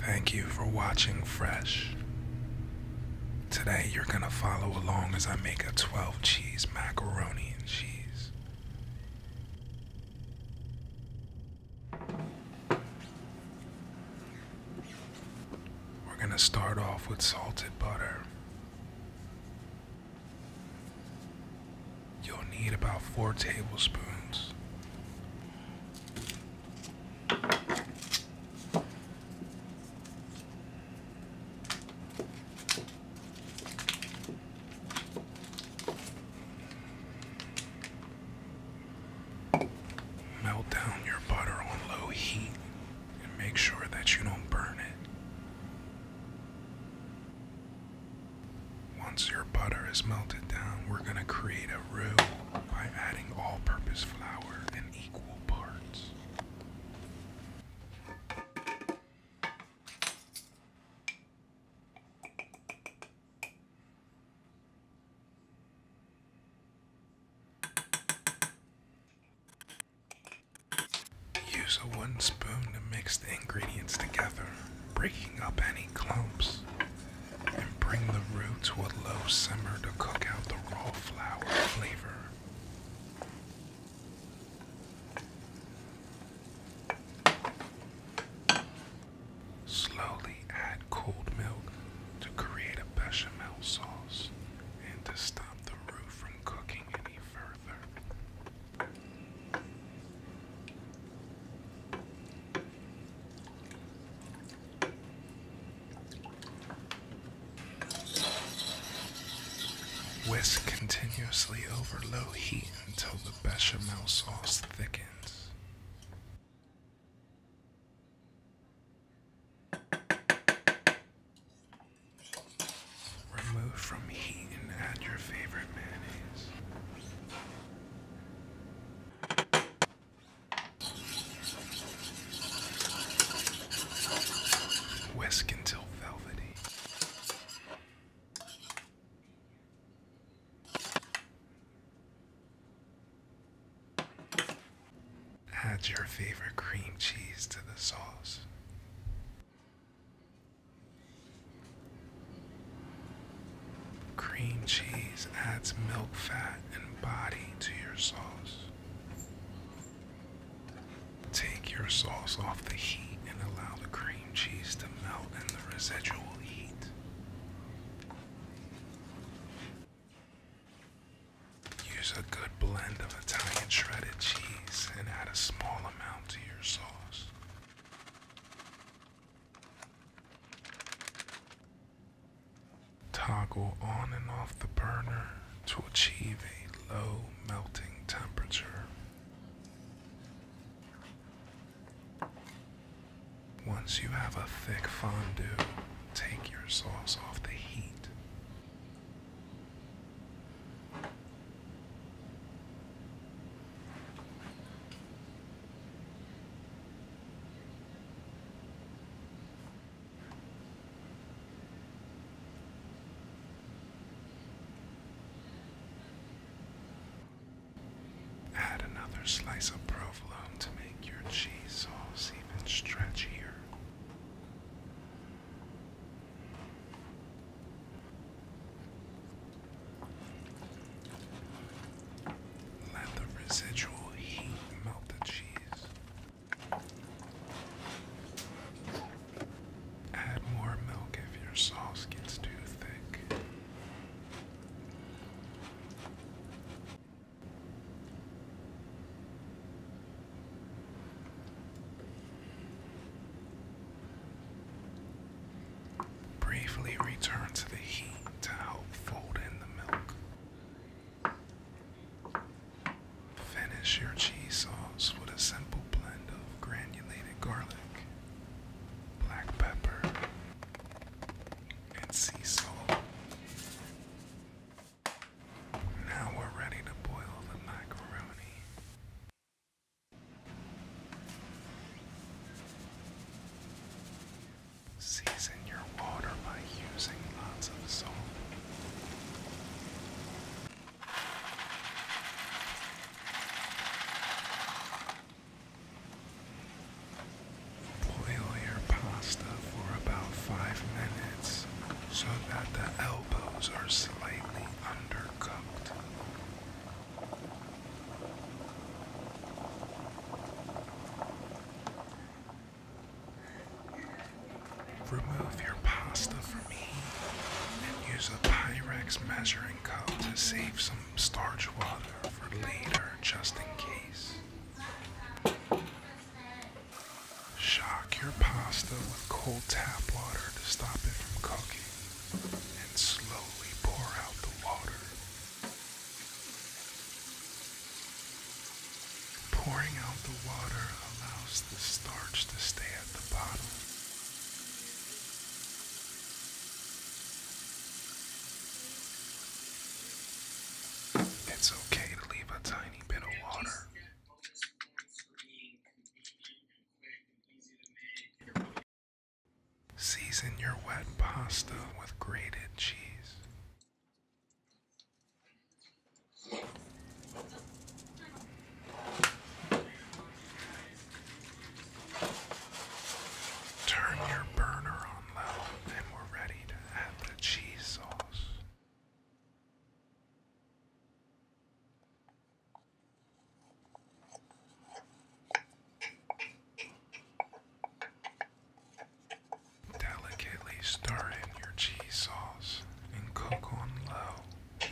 Thank you for watching Fresh. Today you're gonna follow along as I make a 12 cheese macaroni and cheese. We're gonna start off with salted butter. You'll need about four tablespoons. Melt down your butter on low heat and make sure that you don't burn it. Once your butter is melted down, we're going to create a roux by adding all purpose flour in equal parts. Use a wooden spoon to mix the ingredients together, breaking up any clumps, and bring the roux to a low simmer to cook out the raw flour flavor. Slowly add cold milk to create a bechamel sauce and to stop the roux from cooking any further. Whisk continuously over low heat until the bechamel sauce thickens. Remove from heat and add your favorite mayonnaise. Whisk until velvety. Add your favorite cream cheese to the sauce. Cream cheese adds milk, fat, and body to your sauce. Take your sauce off the heat and allow the cream cheese to melt in the residual heat. Use a good blend of Italian shredded cheese and add a small amount to your sauce. Toggle on and off the burner to achieve a low melting temperature. Once you have a thick fondue, take your sauce off the heat. Add another slice of provolone to make your cheese sauce even stretchier. Let the residual heat melt the cheese. Add more milk if your sauce gets too thick. Briefly return to the heat to help fold in the milk. Finish your cheese sauce with a simple blend of granulated garlic, black pepper, and sea salt. Now we're ready to boil the macaroni. Season your water by using lots of salt. Boil your pasta for about five minutes so that the elbows are slightly undercooked. Remove your pasta from me and use a Pyrex measuring cup to save some starch water for later just in case. Shock your pasta with cold tap water to stop it from cooking and slowly pour out the water. Pouring out the water allows the starch to stay at the bottom. It's okay to leave a tiny bit of water. Season your wet pasta with grated cheese. Turn your burner on low and we're ready to add the cheese sauce. Delicately stir in your cheese sauce and cook on low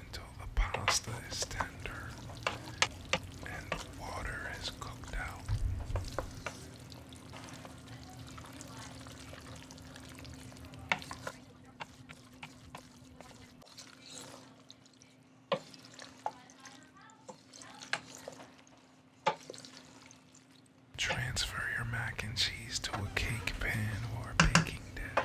until the pasta is tender and the water is cooked out. Transfer your mac and cheese to a cake pan or a baking dish.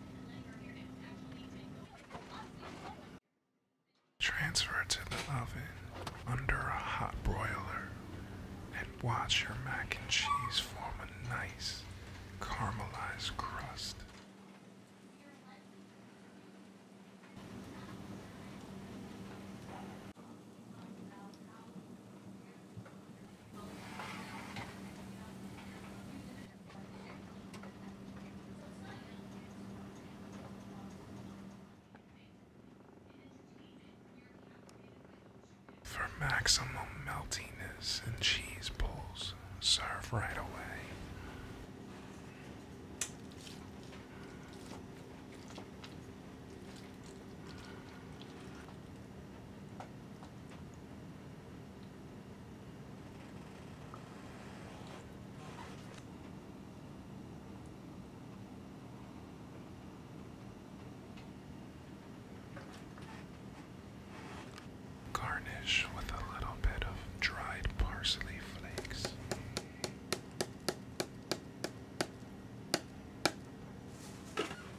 Transfer to the oven under a hot broiler and watch your mac and cheese form a nice caramelized crust. For maximum meltiness and cheese pulls, serve right away. Garnish with a little bit of dried parsley flakes.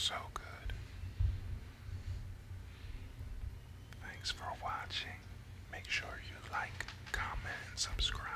So good. Thanks for watching. Make sure you like, comment, and subscribe.